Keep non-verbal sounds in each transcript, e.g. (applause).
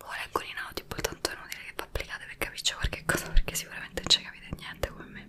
Lo leggo in audio, poi tanto è inutile che vi applicate per capire qualche cosa perché sicuramente non ci capite niente come me.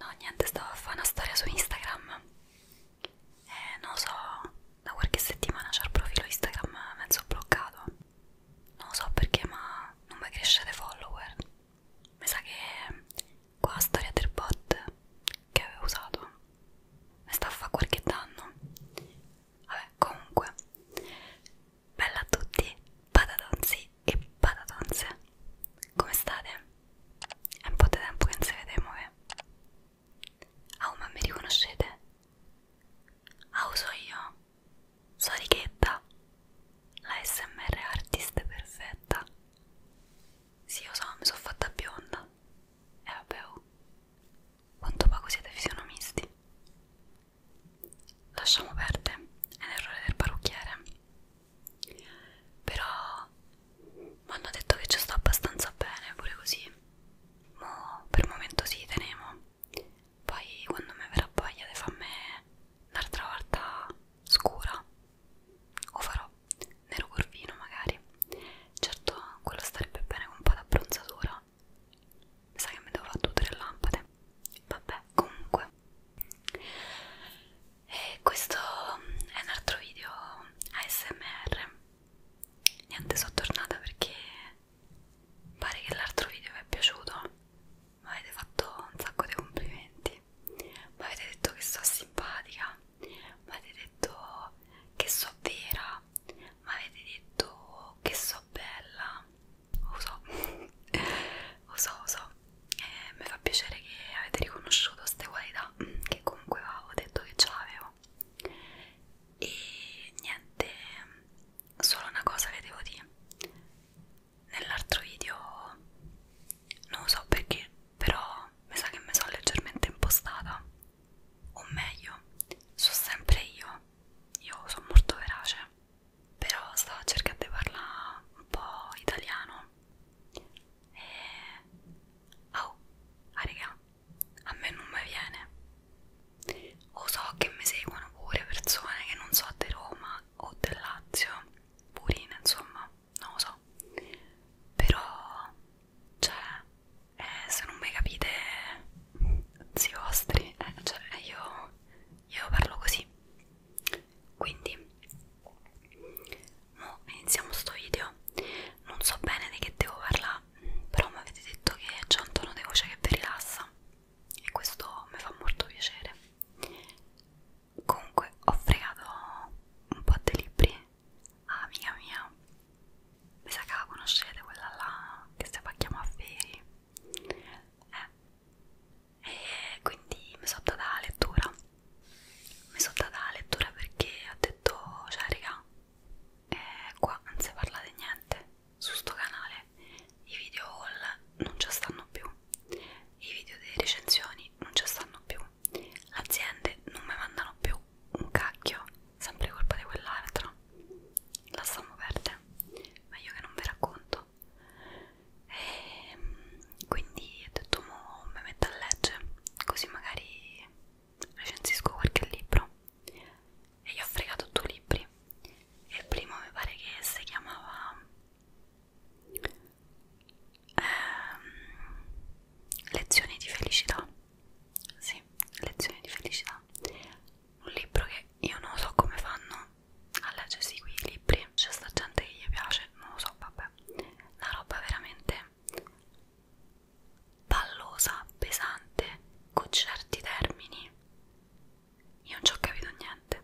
No, niente, stavo a fare una storia su Instagram. E eh, non lo so, da qualche settimana c'è il profilo Instagram mezzo bloccato. Non lo so perché, ma non mi cresce dei follower. Mi sa che qua la storia del bot che avevo usato mi sta a fare qualche danno. Vabbè, comunque, bella a tutti, patatonzi e patatonze. Come state? È un po' di tempo che non si vede, muove. Ah, oh, ma mi riconoscete? Ah, so io. So Richetta, la SMR artist perfetta. Sì, lo so, mi sono fatta bionda. E eh, vabbè, oh. quanto poco siete fisionomisti. Lasciamo perdere, è l'errore del parrucchiere però mi hanno detto che ci sto abbastanza bene pure così Mo per il momento si sì, teniamo poi quando mi verrà voglia di farmi un'altra volta scura o farò nero corvino magari certo quello starebbe bene con un po' d'abbronzatura mi sa che mi devo fare tutte le lampade vabbè comunque e questo è un altro video ASMR niente sono tornata perché pare che l'altro video vi è piaciuto mi avete fatto un sacco di complimenti mi avete detto che sono simpatica mi avete detto che sono vera mi avete detto che sono bella (laughs) lo so lo so lo so e mi fa piacere che avete riconosciuto queste qualità cosa che comunque avevo detto che ce l'avevo e niente solo una cosa vi devo dire nell'altro video non lo so perché però mi sa che mi sono leggermente impostata o meglio sono sempre io io sono molto verace però stavo cercando di parlare un po' italiano no? Eh, e... Oh, ah raga, a me non mi viene. O so che mi seguono pure persone che non so di Roma o del Lazio, purine insomma, non lo so. Però, cioè, eh, se non mi capite, zii vostri, eh, cioè io, io parlo così. Quindi, Mo iniziamo sto video. Non so bene di che devo parlare, però mi avete detto che c'è un tono di voce che vi rilassa e questo mi fa molto piacere. Comunque ho fregato un po' di libri a amica mia. Mi sa che la conoscete quella là che si fa chiamare Feri. Eh. E quindi mi sono data la lettura mi sono data la lettura perché ho detto cioè raga eh, qua non si parla di niente su sto canale i video haul non ci stanno più i video delle recensioni non ci stanno più le aziende non mi mandano più un cacchio sempre colpa di quell'altro la stiamo perde meglio che non vi racconto e, ehm, quindi ho detto mo mi metto a leggere così magari recensisco qualche libro e gli ho fregato due libri e il primo mi pare che si chiamava ehm, lezioni di felicità sì, lezioni di felicità un libro che io non so come fanno a leggersi quei libri c'è sta gente che gli piace non lo so vabbè una roba veramente pallosa, pesante, con certi termini. Io non ci ho capito niente.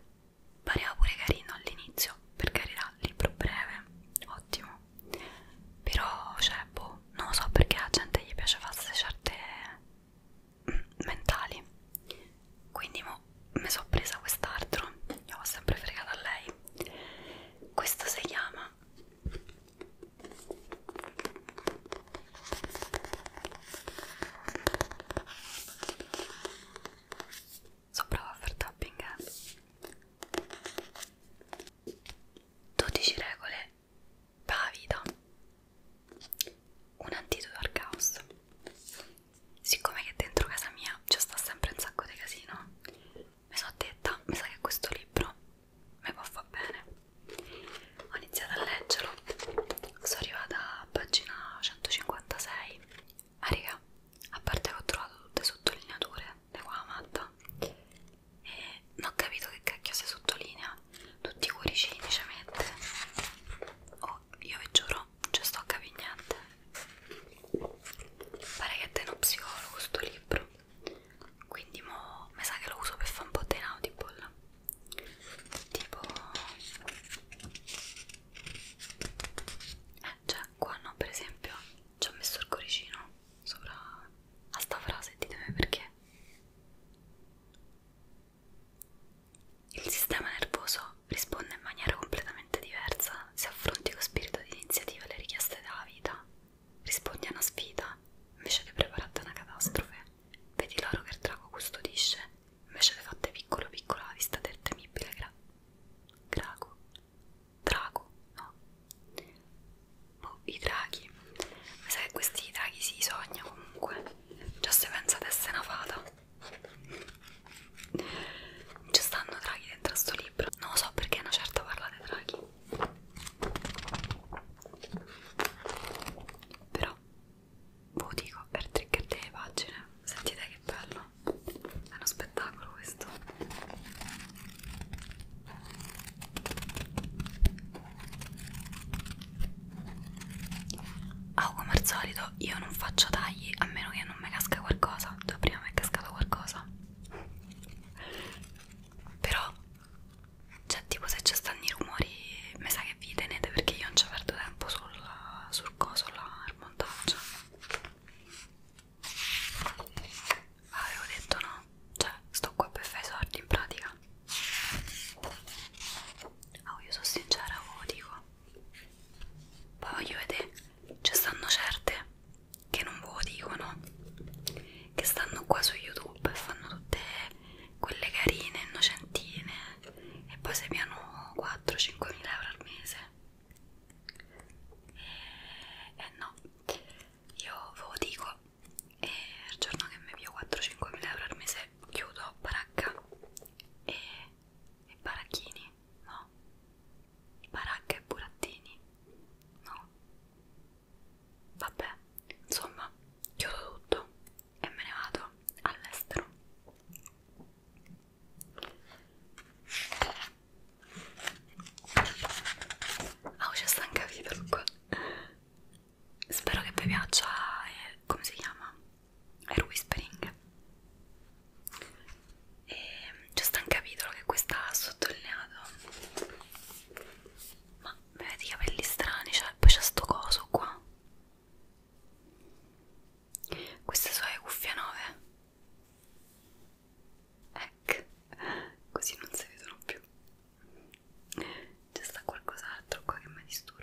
Pareva pure carino all'inizio, per carità, libro breve, ottimo. Però, cioè, boh, non lo so perché alla gente gli piace farsi certe (clears throat) mentali. Quindi mo mi sono presa quest'altro, io ho sempre fregata a lei questo si chiama so brava a far tapping eh? 12 regole per la vita un antidoto al caos siccome che dentro casa mia ci sta sempre un sacco di casino mi sono detta, mi sa che questo libro mi può far bene. Ho iniziato a leggerlo, sono arrivata a pagina 156. Ma ah, raga, a parte che ho trovato tutte sottolineature di qua matta e non ho capito che cacchio si sottolinea, tutti i cuoricini ci mette. Oh, io vi giuro, non ci sto a capire niente. Pare che è uno psicologo sto libro dentro quindi mo mi sa che lo uso per fare un po' di inaudible tipo eh cioè qua no per esempio ci ho messo il coricino sopra a sta frase ditemi perché il sistema nervoso risponde in maniera completamente diversa se affronti con spirito di iniziativa le richieste della vita Rispondi a una sfida invece che prepararti a una catastrofe. Vedi l'oro che il drago custodisce invece che fatte piccolo piccolo alla vista del temibile gra drago. Drago, no? Boh, i draghi. Ma sai che questi draghi si sogna comunque. Già se pensa di essere una fata ci stanno draghi dentro a sto libro non lo so perché una certa parla dei draghi però ve boh, lo dico per trigger delle pagine sentite che bello è uno spettacolo questo Ah, come al solito io non faccio tagli a meno che non mi casca qualcosa. Prima mi è cascato qualcosa però cioè tipo se ci stanno i rumori mi sa che vi tenete perché io non ci perdo tempo sul, sul coso là al montaggio ah, avevo detto no cioè sto qua per fare i soldi in pratica oh io sono sincera ve lo dico poi voglio vedere ci stanno certe che non ve lo dicono che stanno qua su youtube e fanno tutte quelle carine innocentine e poi se piano 4-5 mila euro al mese e, eh, e eh, no io ve lo dico e il giorno che mi pio 4-5 mila euro al mese chiudo baracca e, e baracchini no Baracca e burattini? No? Vabbè, insomma, chiudo tutto e me ne vado all'estero. Ah, oh, c'è sta un capitolo qua. Spero che vi piaccia, eh, come si chiama? Air Whispering e c'è sta un capitolo che questa ha sottolineato ma vedi i capelli strani cioè, poi c'è sto coso qua queste sono le cuffie 9 ecco così non si vedono più c'è sta qualcos'altro qua che mi disturba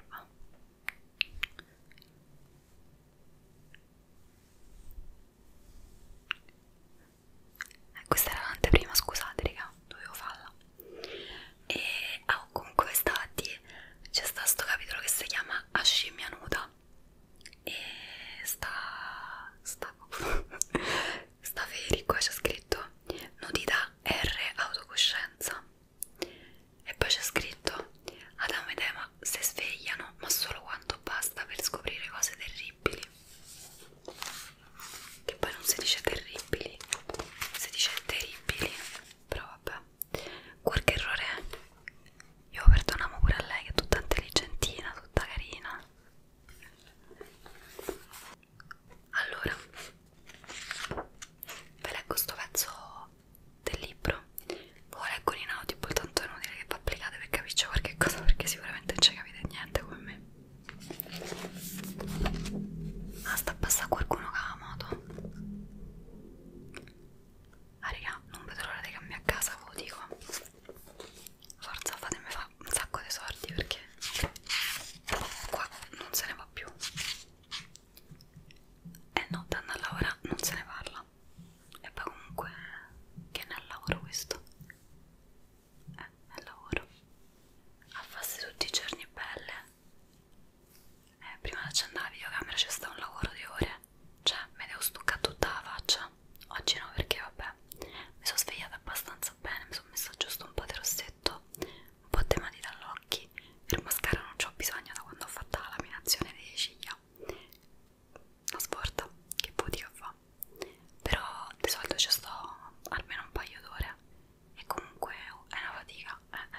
eh, questa era l'anteprima, scusate raga, dovevo farla e oh, comunque quest'oggi c'è sta sto capitolo che si chiama A scimmia nuda e sta sta (laughs) sta veri qua c'è scritto nudità R autocoscienza e poi c'è scritto Adamo ed Ema si svegliano ma solo quanto basta per scoprire cose terribili che poi non si dice terribili si dice terribili però vabbè qualche errore è io perdonamo pure a lei che è tutta intelligentina tutta carina allora ve leggo sto pezzo del libro lo leggo in audio tanto è inutile che vi applicate per capirci qualche cosa perché sicuramente non ci capite capite niente come me ah sta a passare qualcuno che ha la moto ah raga non vedo l'ora di cambiare casa ve lo dico forza fatemi fa un sacco di soldi perché qua non se ne va più e eh no danno a lavorare non se ne parla e poi comunque che ne ha lavoro questo eh, nel lavoro a farsi tutti i giorni e pelle eh, prima di accendere la videocamera c'è stato un lavoro di ore cioè mi devo stuccare tutta la faccia oggi no perché vabbè mi sono svegliata abbastanza bene mi sono messa giusto un po' di rossetto un po' di mani dall'occhio per mascara non ho bisogno da quando ho fatto la laminazione delle ciglia una sporta che putica fa però di solito ci sto almeno un paio d'ore e comunque è una fatica eh,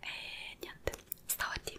eh. e niente stavo a dire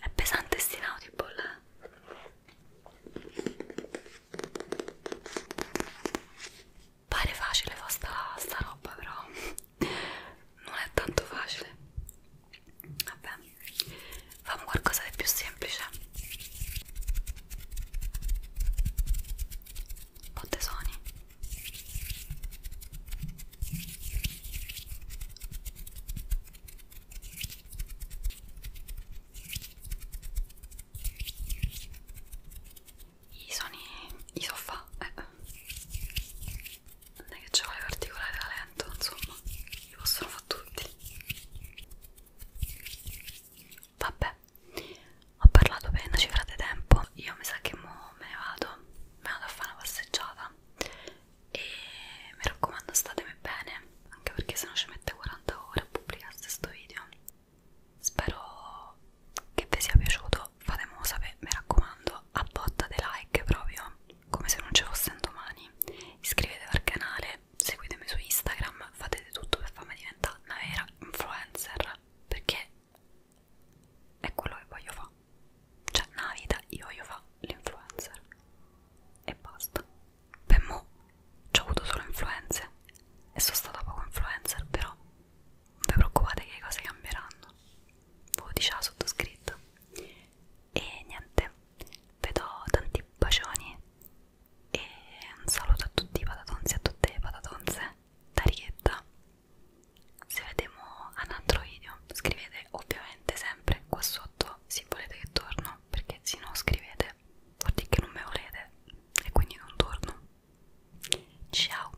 È pesante sti Audible, eh? Pare facile fa sta, sta roba, però non è tanto facile. Vabbè, facciamo qualcosa di più semplice. Botte Sony. I suoni, i sofà, eh. non è che ci vuole particolare talento, insomma, li possono fare tutti. Vabbè, ho parlato per una cifra di tempo, io mi sa che mo me ne vado, me ne vado a fare una passeggiata e mi raccomando statemi bene anche perché se no ci mette 40 ore a pubblicare questo video spero che vi sia piaciuto fatemelo sapere mi raccomando a botta dei like proprio come se non ci fosse un domani iscrivetevi al canale seguitemi su Instagram fate di tutto per farmi diventare una vera influencer perché è quello che voglio fare cioè, una vita io voglio fare l'influencer e basta. Per mo' ho avuto solo influenze e sono stata poco influencer, però non vi preoccupate che le cose cambieranno. Ve lo diceva sottoscritto. E niente, vi do tanti bacioni e un saluto a tutti i patatonzi e a tutte le patatonze da Righetta se vediamo un altro video scrivete ovviamente sempre qua sotto se volete che torno perché se no scrivete vuol dire che non me volete e quindi non torno ciao